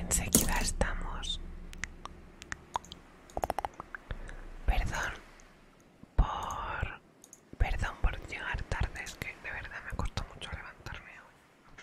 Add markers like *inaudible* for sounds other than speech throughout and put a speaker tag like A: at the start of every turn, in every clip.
A: Enseguida estamos Perdón por... Perdón por llegar tarde, es que de verdad me costó mucho levantarme hoy.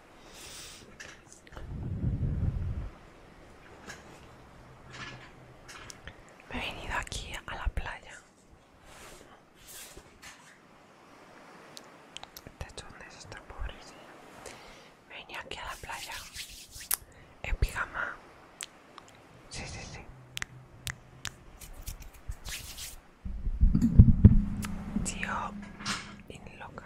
A: Me he venido aquí a la playa. Este es un desastre, pobrecillo. Me venía aquí a la playa. En pijama. Sí, sí, sí. Tío, in loca.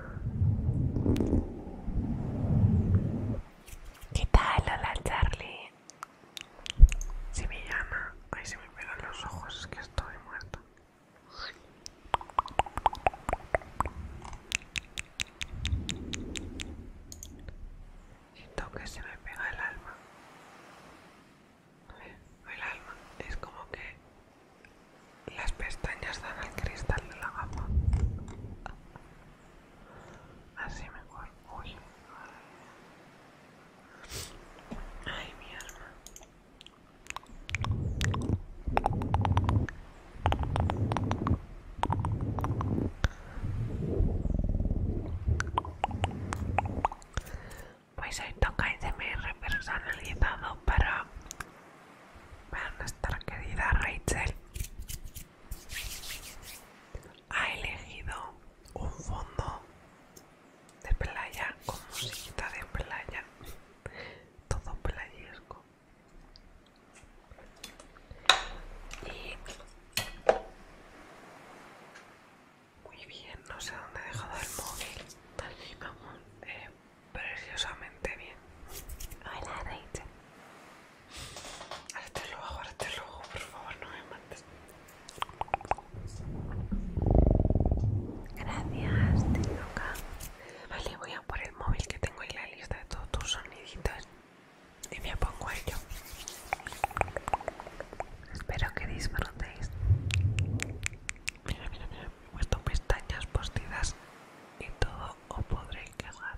A: ¿Qué tal? Hola Charlie. Se me llama, ay se me pegan los ojos, es que estoy muerta. Siento que se me pega el alma. Eh, el alma es como que las pestañas dan al cristal de la gama Así mejor. Uy. Ay, mi alma. Pues hoy toca ICMR personalizado para bueno, nuestra querida Rachel ha elegido un fondo de playa con musiquita de playa todo playesco y muy bien no sé dónde he dejado el móvil eh, preciosamente bien hola Rachel Hazte el ojo, te ojo, por favor, no me mates. Gracias, loca. Vale, voy a por el móvil que tengo en la lista de todos tus soniditos. Y me pongo a ello. Espero que disfrutéis. Mira, mira, mira. he puesto pestañas postidas y todo os podréis cagar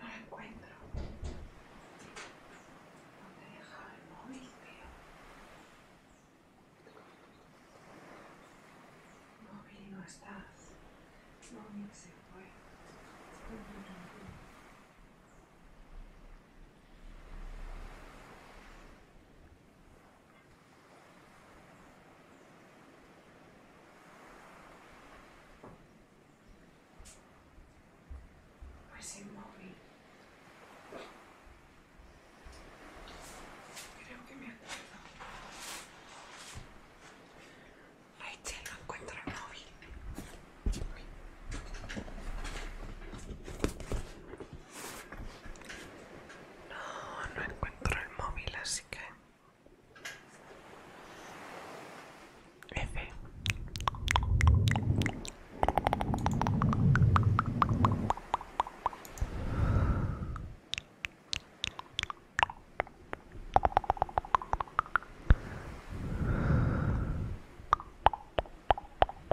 A: No lo encuentro. ¿Dónde he dejado el móvil, tío? Móvil, no estás. Móvil, se fue. Pues inmóvil. Creo que me acuerdo. Rachel no encuentra el móvil. No, no encuentro el móvil, así que...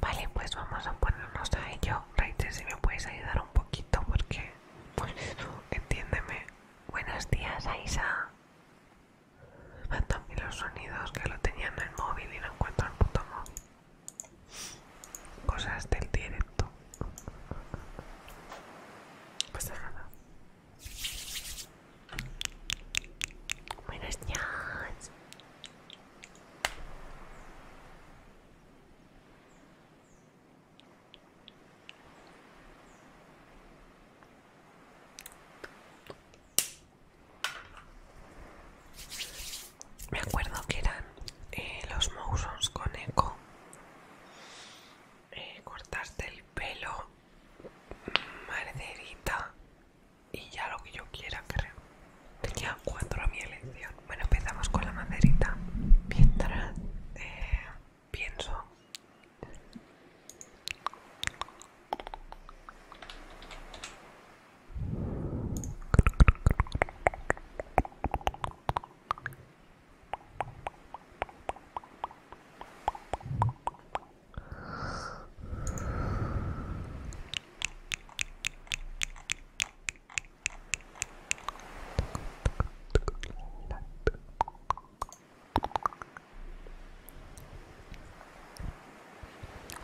A: Vale, pues vamos a ponernos a ello. Raíces, si me puedes ayudar un poquito, porque, entiéndeme. Buenos días, Aisa. También los sonidos que lo tenían en el móvil y no encuentro el puto móvil. Cosas del directo. Pues nada. Buenos Me acuerdo que eran eh, los mousons con eco. Eh, cortarte el pelo maderita y ya lo que yo quiera, creo. Tenía cuatro a mi elección. Bueno, empezamos con la maderita. Mientras eh, pienso.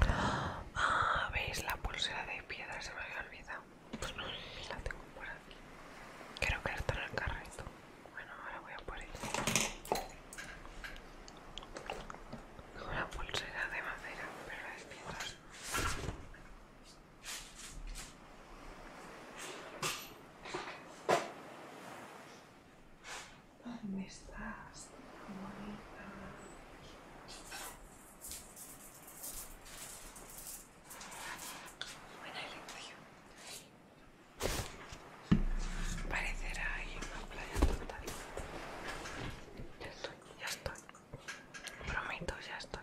A: Ah, ¿veis la pulsera de piedra? Se me había olvidado. Pues no, la tengo por aquí. Creo que está en el carrito. Bueno, ahora voy a por ella. Una pulsera de madera, pero la despierta. ¿Dónde estás? bonita. Buena elección. Parecerá ahí una playa total. Ya estoy, ya estoy. Prometo, ya estoy.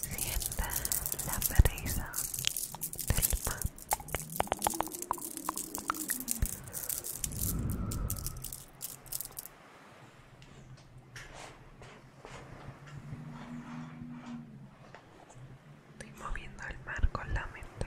A: Sienta la prisa del mar. Estoy moviendo el mar con la mente.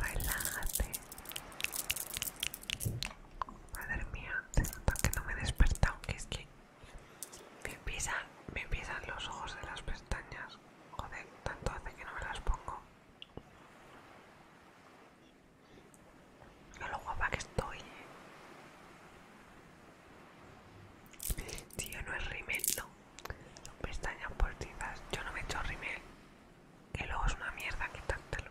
A: Relájate. Madre mía, se nota que no me he despertado, que es que me empiezan, me los ojos de las pestañas. Joder, tanto hace que no me las pongo. No lo guapa que estoy. Eh. Tío, no es rimel, no. pestañas postizas. Yo no me echo rimel. Que luego es una mierda quitártelo.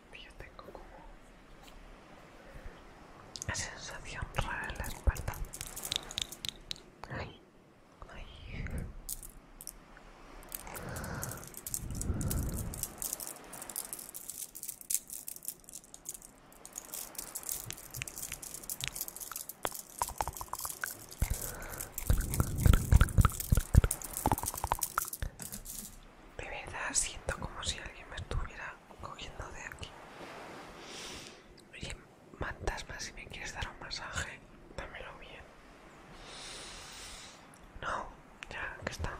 A: yo tengo como una sensación rara en la espalda. Ay, ay. De verdad siento como si alguien me estuviera cogiendo de aquí. Oye, fantasma, si me quieres dar un masaje, dámelo bien. No, ya que estamos.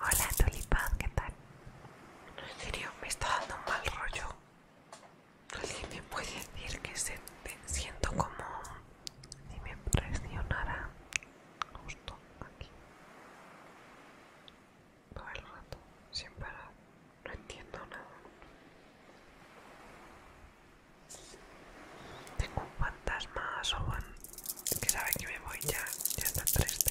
A: Hola tulipán, ¿qué tal? No, en serio, me está dando un mal rollo. ¿Alguien me puede decir que se, siento como si me presionara justo aquí? Todo el rato, sin parar. No entiendo nada. Tengo un fantasma van que sabe que me voy ya, ya está triste.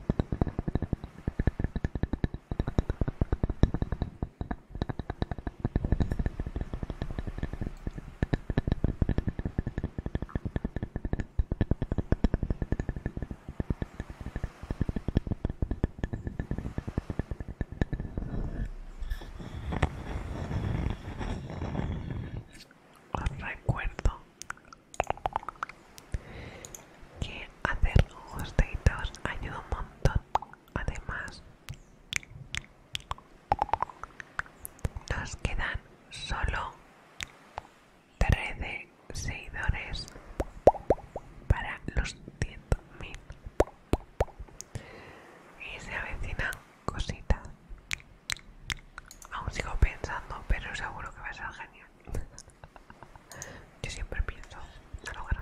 A: recuerdo que hacer ojos ayuda un montón además nos quedan solo 13 seguidores para los 100.000 y se avecinan cositas aún sigo pensando pero seguro que va a ser genial yo siempre pienso en lo grande.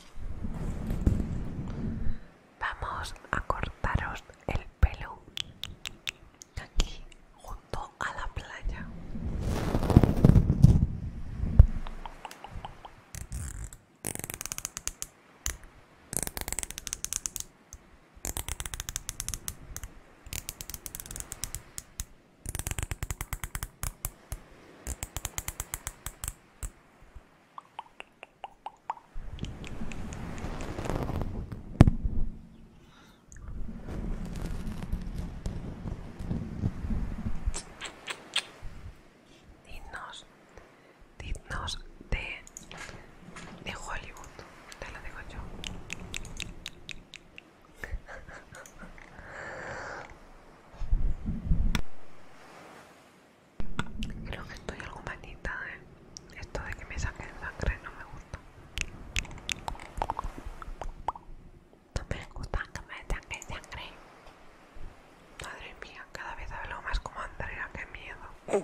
A: Vamos a cortaros el pelo aquí junto a la playa. Dignos, dignos de, de Hollywood, te lo digo yo. *laughs* Creo que estoy algo manita, ¿eh? Esto de que me saquen sangre no me gusta. No me gusta que me saquen sangre. Madre mía, cada vez hablo más como Andrea, qué miedo.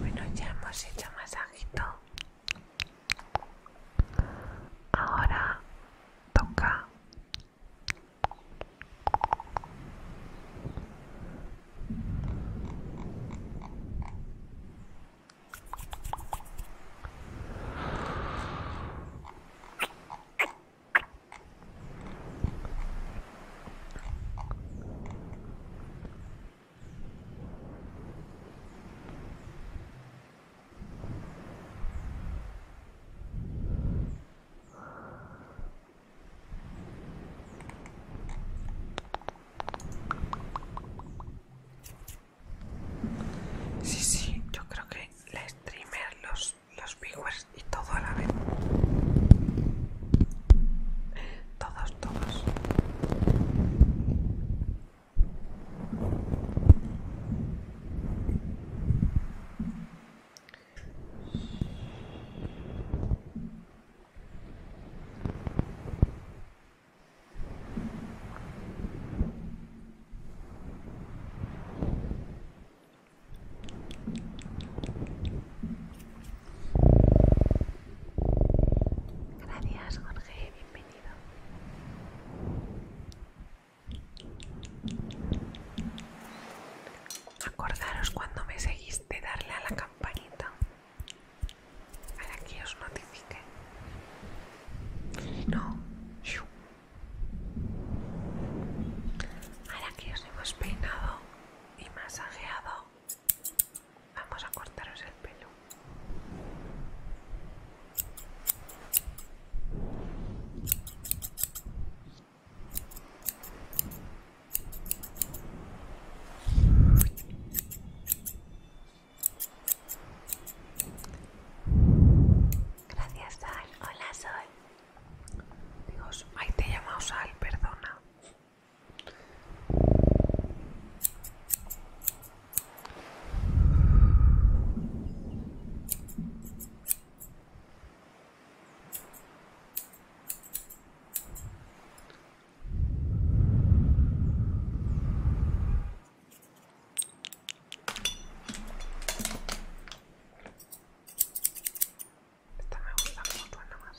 A: Bueno, ya hemos hecho masajito Ahora toca Sí, sí, yo creo que la streamer, los, los viewers y todo a la vez. Todos, todos. Gracias Jorge, bienvenido. Acordaros cuando me seguiste darle a la campanita para que os notifique. No, ahora que os hemos peinado y masajeado, vamos a cortaros el pelo. Gracias, Sal. Hola, soy Dios, ahí te he llamado Sal, perdona. Esta me gusta como suena más.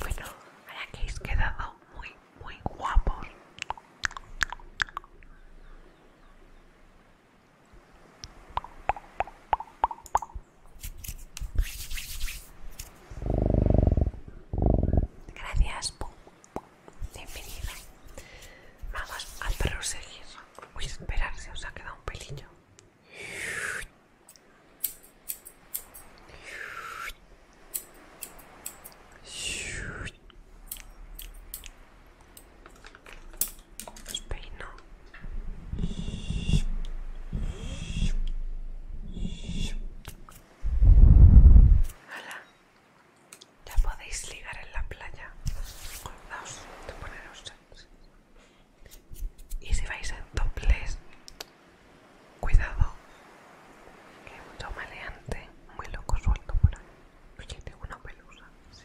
A: Bueno, ahora que quedado muy, muy guapos. Gracias bienvenido. Vamos al proseguir. Voy a esperar si os ha quedado un pelillo. Ya podéis ligar en la playa. Acordaos de poneros. Y si vais en dobles, cuidado, que hay mucho maleante, muy loco suelto por ahí. Oye, tengo una pelusa, sí.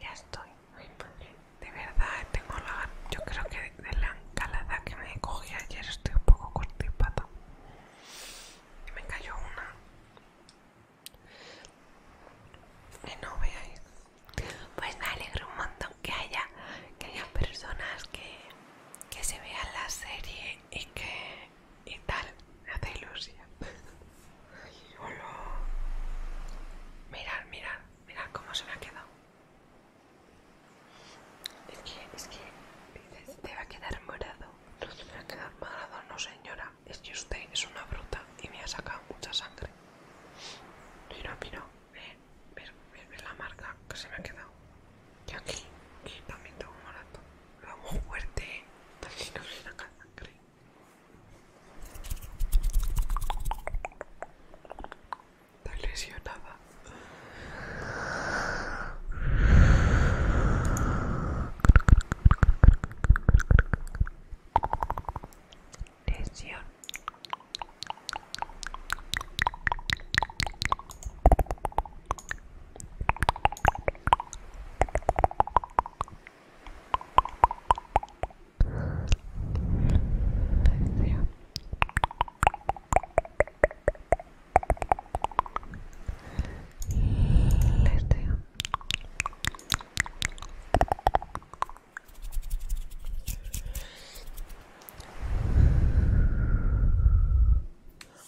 A: Ya estoy. De verdad, tengo la... Yo creo que de, la calada que me cogí ayer estoy un poco cortipata. Y me cayó una. que no veáis. Pues me alegro un montón que haya, que haya personas que que se vea la serie y que y tal me hace ilusión *laughs* mirad mirad mirad cómo se me ha quedado es que es que dices te va a quedar morado no va a quedar morado no señora es que usted es una bruta y me ha sacado mucha sangre mira mira ver, ver, la marca que se me ha quedado. Y aquí, aquí también tengo un morato. Lo hago fuerte, así no viene la sangre. Está lesionada. Lesión. Les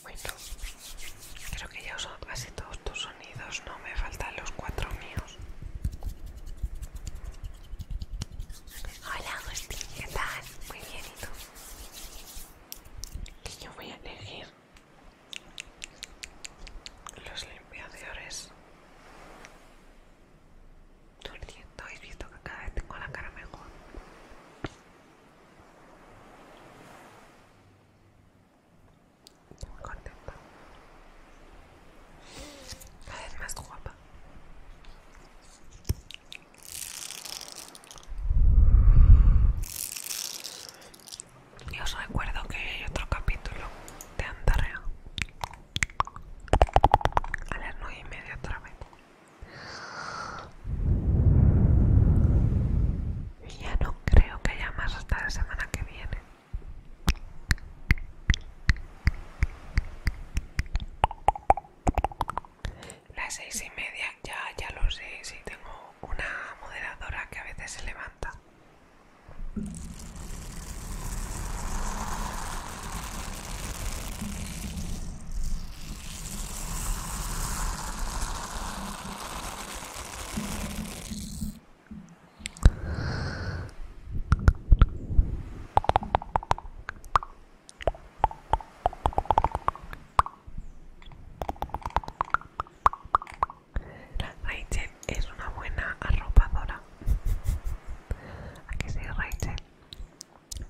A: bueno, creo que ya usan casi todos tus sonidos, no me faltan los cuatro míos. Hola Agustín, ¿qué tal? Muy bien, ¿y yo voy a elegir los limpiadores. Tú habéis visto que cada vez tengo la cara mejor. Estoy muy contenta. Cada vez más guapa. Y os recuerdo que hay otro capítulo de Andarrea a las nueve y media otra vez ya no creo que haya más hasta la semana que viene. Las seis y media, ya, ya lo sé, Si tengo una moderadora que a veces se levanta. Rachel es una buena arropadora. *laughs* ¿A que se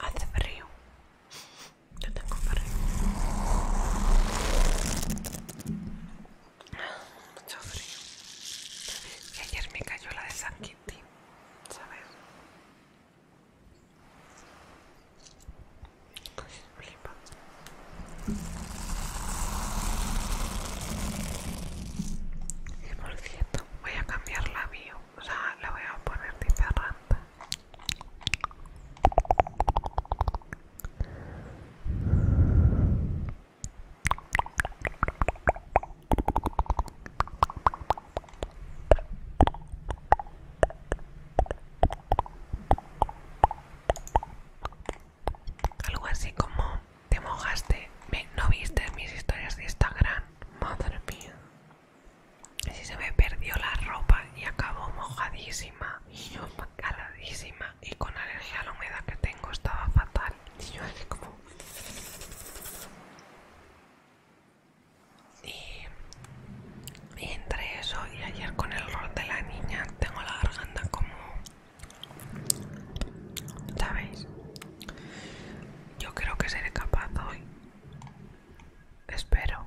A: Hace frío. Yo tengo frío. Mucho frío. Y ayer me cayó la de San Quintín, ¿sabes? Flipa. Y por cierto, voy a cambiar la bio, o sea, la voy a poner de ferranta. Algo así como te mojaste, no viste mis historias de Instagram, madre mía. Así se me perdió la ropa y acabó mojadísima y yo caladísima y con alergia a la humedad que tengo estaba fatal. Y yo como... Y, y entre eso y ayer con el rol de la niña tengo la garganta como... ¿Sabéis? Yo creo que seré capaz hoy. Espero.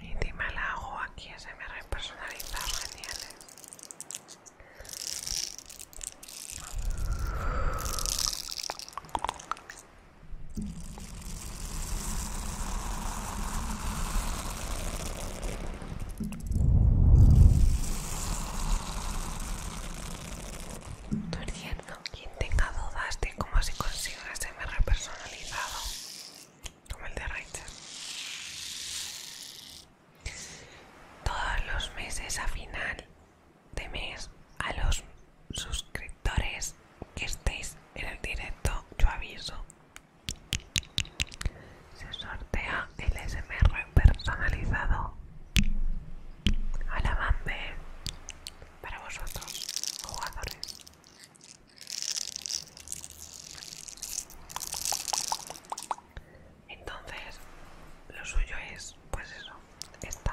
A: Y encima la hago aquí SMR personalizado, genial. Quien tenga dudas de cómo se consigue un SMR personalizado, como el de Rachel. Todos los meses a final de mes a los suscriptores que estéis en el directo yo aviso se sortea el SMR personalizado a la bande para vosotros jugadores entonces, lo suyo es, pues eso, está.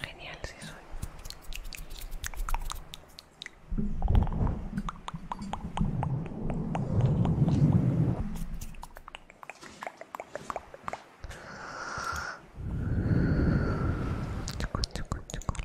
A: Genial, sí soy. Chucu, chucu, chucu.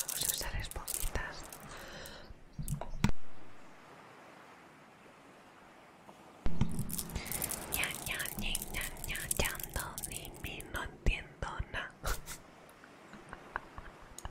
A: Vamos a usar esponjitas. Ya, ya, no entiendo nada. *laughs*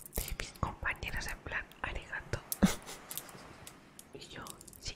A: de mis compañeras en plan arigato *laughs* y yo sí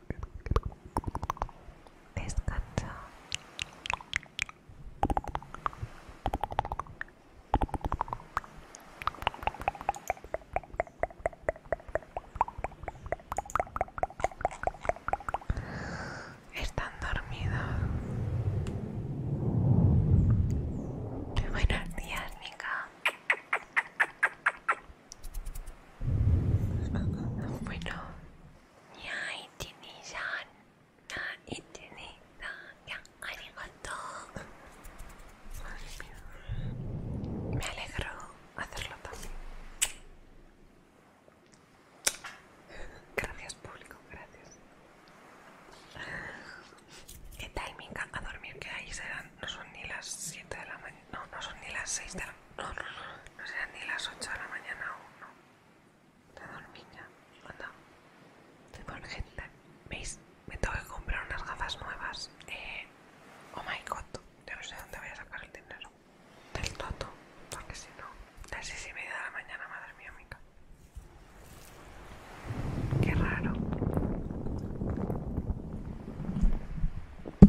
A: Descansa. Están dormidos. Buenos días, nika bueno, ya ya ya Me alegro hacerlo también. Gracias público, gracias. ¿Qué tal, Minka? A dormir que ahí serán, no son ni las 7 de la mañana no, no son ni las 6 de la no, no, sean serán ni las 8 de la mañana aún, no. Te dormir ya, anda. Estoy gente. ¿Veis? Me tengo que comprar unas gafas nuevas. Eh, oh my god, yo no sé dónde voy a sacar el dinero. Del toto, porque si no, las 6 y media de la mañana, madre mía, mica. Qué raro. Me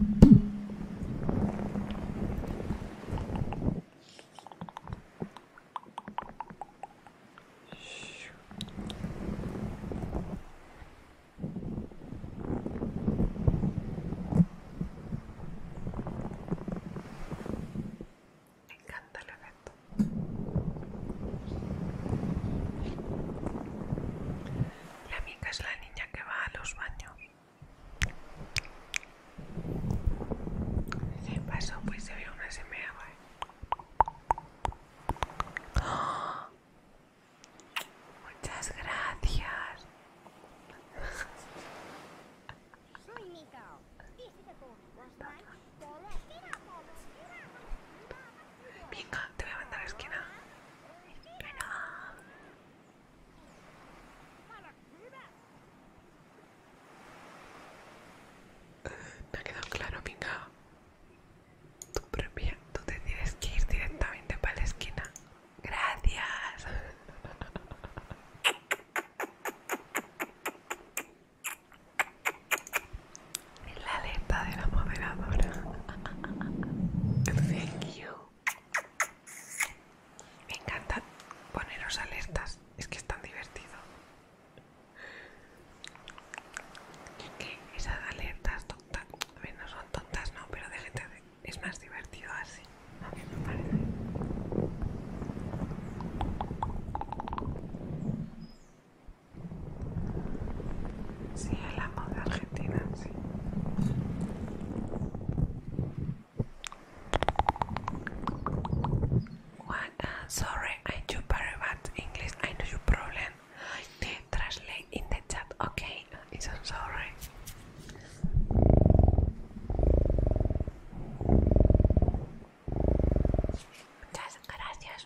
A: encanta la efecto. La amiga es la niña que va a los baños. ¿Qué pasó, pues se ve una semilla, Muchas gracias. Venga, te voy a mandar a la esquina. Me ha quedado claro, Minga. Tú propia, te tienes que ir directamente para la esquina. Gracias. Es *laughs* la alerta de la moderadora. *laughs* Thank you. Me encanta poneros alertas, es que es tan divertido. esas alertas tontas, a ver, no son tontas, no, pero de es más divertido así. A mí me parece. Sí, el amo de Argentina, sí. What? Uh, sorry, I do very bad English. I know you problem. I translate in the chat. Okay, it's I'm sorry. gracias.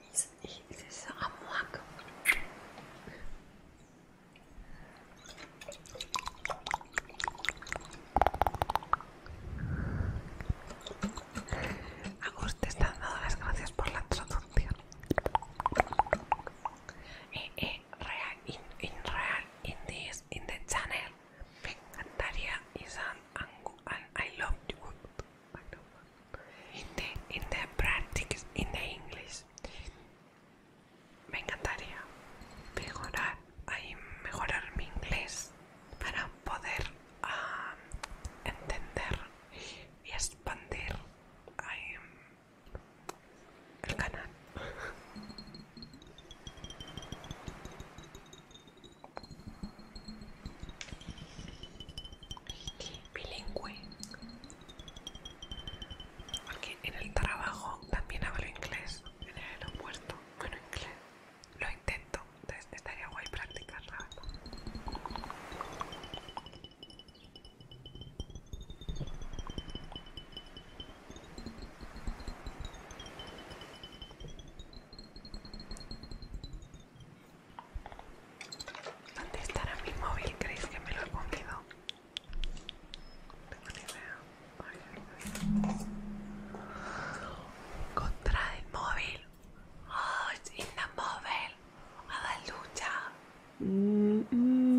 A: Et es a te están dando las gracias por la traducción. Eh, eh, real, in, in real, in this, in the channel. Me encantaría Isan and I love you. In the, in the practice, in English. Me encantaría mejorar, ahí mejorar mi inglés para poder ah entender y expandir ahí, el canal. Bilingüe. Porque en el trabajo también hablo inglés, en el aeropuerto. Bueno, inglés. Lo intento, entonces estaría guay practicarla ¿Dónde estará mi móvil? ¿Crees que me lo he comido? Tengo ni idea. Contra el móvil. Oh, it's in A la lucha. ¡Mmm!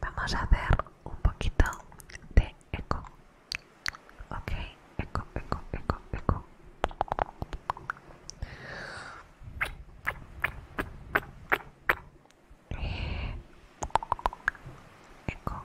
A: Vamos a hacer un poquito de eco. Ok, eco, eco, eco, eco. Eh, eco.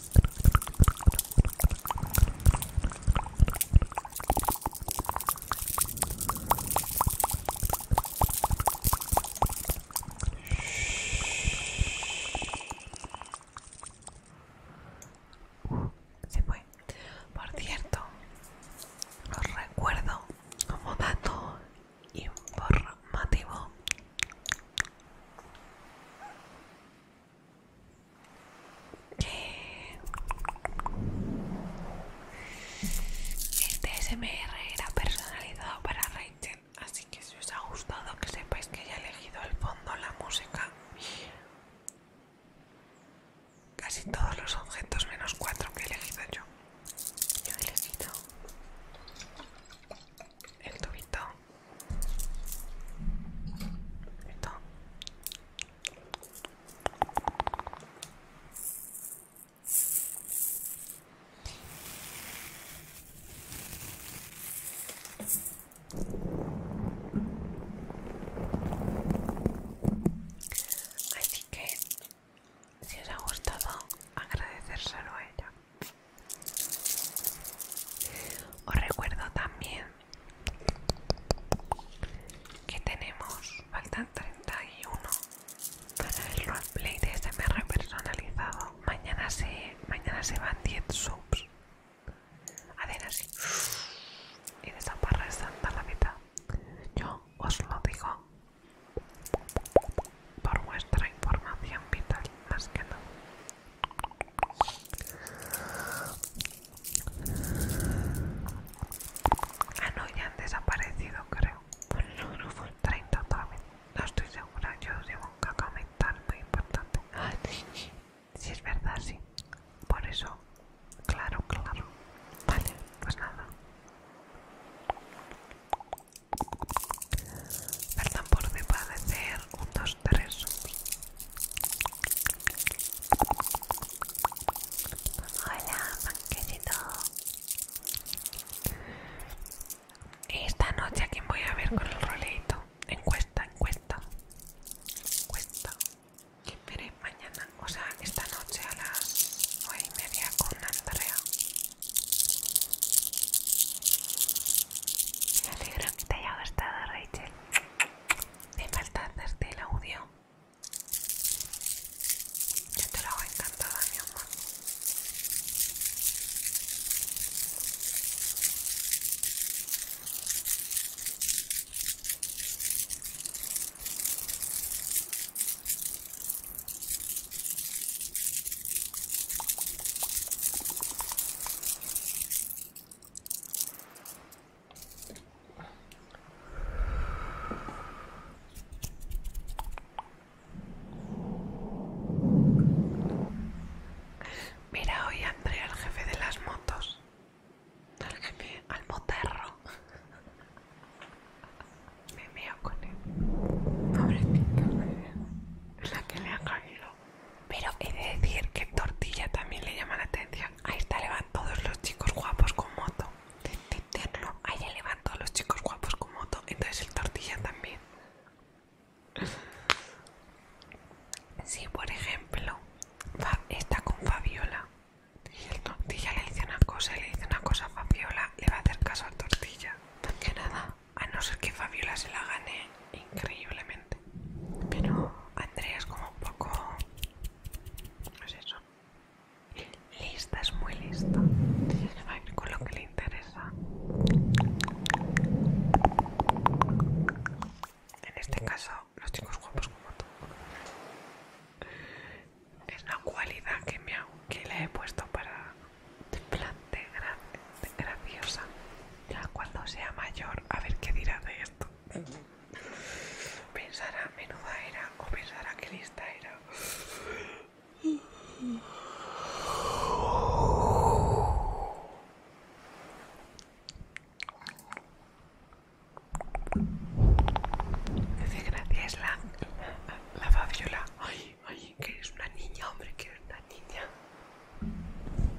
A: se fue. Por cierto, los recuerdo como dato informativo este SMR era personalizado para Rachel, así que si os ha gustado que sepáis que ya he elegido el fondo, la música, casi todos los objetos menos cuatro que he elegido yo. Yo he elegido el tubito Así que si os ha gustado, agradecérselo a ella. Os recuerdo también ¿Qué tenemos? Faltan 31 para el roleplay de SMR personalizado. Mañana se, mañana se van 10 subs. Hacen así. Y desaparecen para la mitad. Yo os lo digo por vuestra información vital, más que nada. Ah, no, ya han desaparecido, creo. el 30 también. No estoy segura, yo tengo un mental muy importante. Ah, sí, es verdad, sí. Por eso, claro, claro. Vale, pues nada. Perdón por me parecer un 2-3 Hola, panquecito. Esta noche a quién voy a ver con el roleito. Encuesta, encuesta. Encuesta. Y veré mañana, o sea, esta noche a las 8 y media con Andrea. Me alegro que te haya gustado, Rachel. Me falta hacerte el audio. Yo te lo hago encantada, mi amor. Mira, hoy Andrea el jefe de las motos. Al jefe, al moterro Me veo con él. Pobrecito, la que le ha caído. Pero he de decir que tortilla también le llama la atención. Ahí está, le van todos los chicos guapos con moto. No, ahí Ahí le van todos los chicos guapos con moto. Entonces el tortilla también. Si por ejemplo está con Fabiola y el tortilla le dice una cosa le dice una cosa a Fabiola, le va a hacer caso a tortilla. Que nada, a no ser que Fabiola se la gane increíblemente. Pero Andrea es como un poco... No es eso. Lista, es muy lista. Va a con lo que le interesa. En este caso, los chicos guapos como tú. Es una cualidad que, me le he puesto para... De graciosa. Ya cuando sea mayor, a ver qué dirá de esto. Pensará, menuda era, o pensará que lista era. Dice es la, la, Fabiola. Ay, ay, que es una niña, hombre, que eres una niña.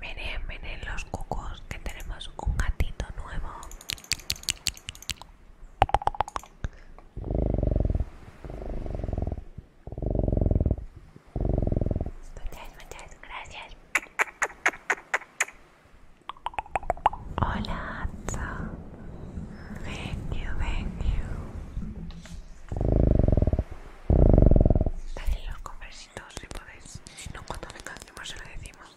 A: Venen, venen los cucos que tenemos un gatito nuevo. Muchas, muchas gracias. Hola, Thank you, thank you. Dale los conversitos si podéis. Si no, cuando me cansemos se lo decimos.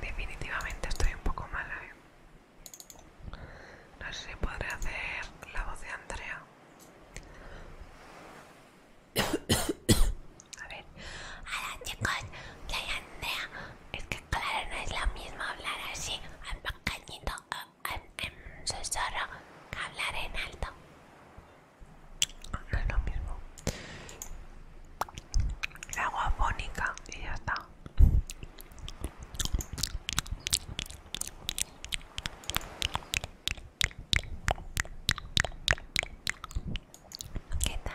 A: Definitivamente estoy un poco mala, ¿eh? No sé si podré hacer la voz de Andrea. *coughs* A ver. Hola chicos, hay Andrea. Es que claro, no es lo mismo hablar así, en pequeñito, en que hablar en alto no es lo mismo La agua fónica y ya está ¿Qué tal?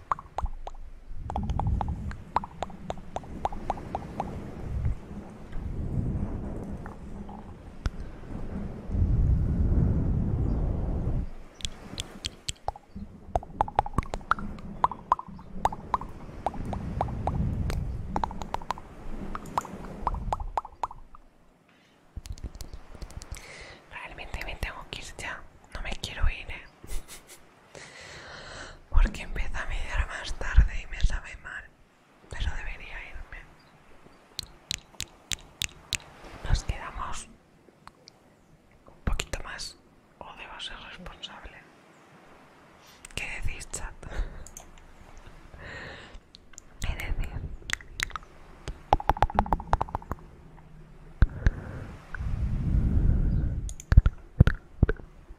A: Realmente me tengo que ir ya, no me quiero ir. ¿eh? *laughs* porque empieza a mediar más tarde y me sabe mal, pero debería irme. Nos quedamos un poquito más o debo ser responsable. ¿Qué decís, chat? *laughs* ¿Qué decir?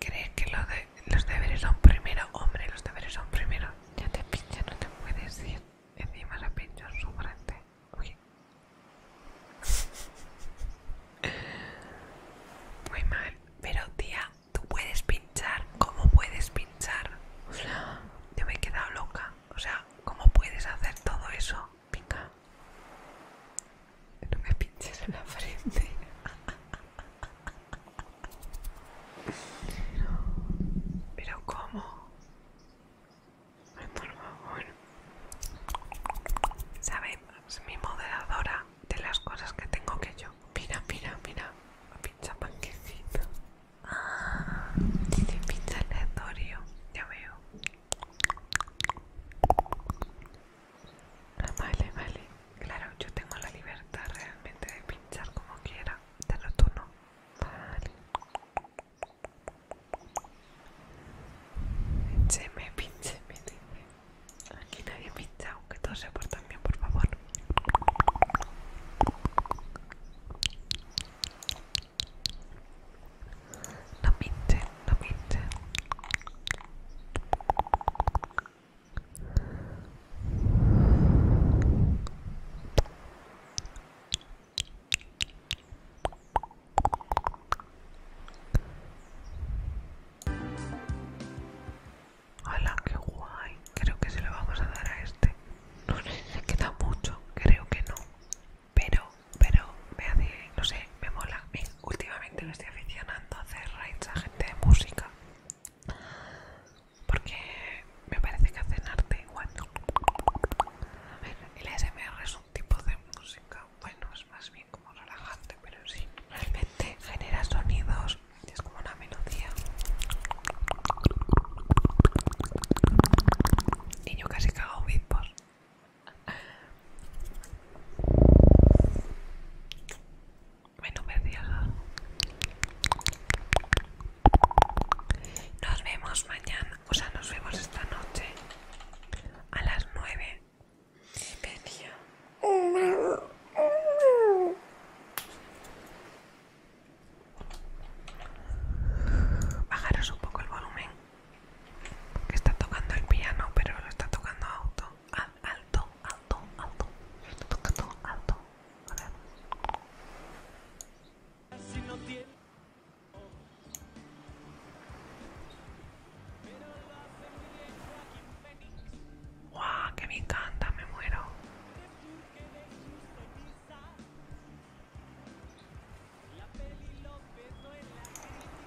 A: ¿Crees que los deberes son primero? Hombre, los deberes son primero. Ya te pincha, no te puedes ir. Encima la pincha su frente. *laughs* Muy mal. Pero tía, tú puedes pinchar. ¿Cómo puedes pinchar? O yo me he quedado loca. O sea, ¿cómo puedes hacer todo eso? Venga. No me pinches en la frente. Pero cómo. Por favor. ¿Sabes? Mi moderadora de las cosas que tengo que yo. Mira, mira, mira. Pincha panquecito. Ah, dice pincha aleatorio. Ya veo. Ah, vale, vale. Claro, yo tengo la libertad realmente de pinchar como quiera. Pero tú no. Vale. Pincheme, pincheme, Aquí nadie pincha, aunque todos se portan bien, por favor. La mente, la mente Hola, qué guay. Creo que se lo vamos a dar a este. No sé si se queda mucho. Creo que no pero, pero me hace, no sé, me mola. últimamente me estoy aficionando a hacer raids a gente de música. Porque me parece que hacen arte igual. El smr es un tipo de música, bueno, es más bien como relajante, pero sí, realmente genera sonidos, es como una melodía. Y yo casi cago por. Nos vemos mañana, o sea, nos vemos esta noche a las 9. Bajaros un poco el volumen que está tocando el piano, pero lo está tocando alto, alto, alto, alto. Lo está tocando alto. ¡Que me encanta! ¡Me muero!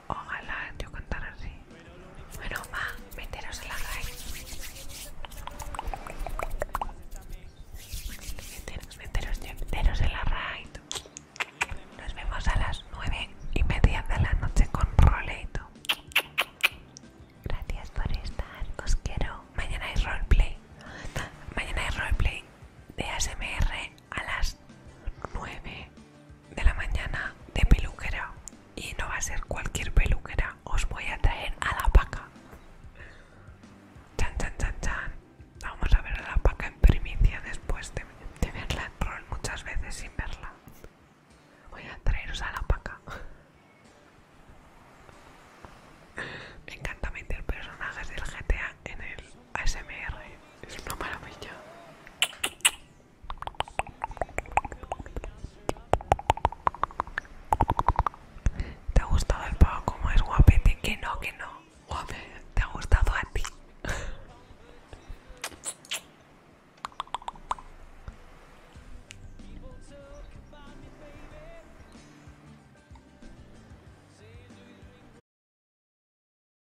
A: Ojalá yo cantara así. Bueno, va, meteros en la raíz. Meteros, meteros, meteros en la raíz. Nos vemos a las nueve y media de la noche con roleito. Gracias por estar, os quiero. Mañana hay roleplay. Mañana hay roleplay de ASMR a las 9 de la mañana de peluquera y no va a ser cualquier peluquera, os voy a traer a la paca. Chan, chan, chan, chan. Vamos a ver a la paca en primicia después de, verla en troll muchas veces sin verla. Voy a traeros a la paca. Me encanta meter personajes del GTA en el ASMR es una maravilla. ¿Te ha gustado el pago? como es guapete? Que no, que no. Guape, ¿te ha gustado a ti?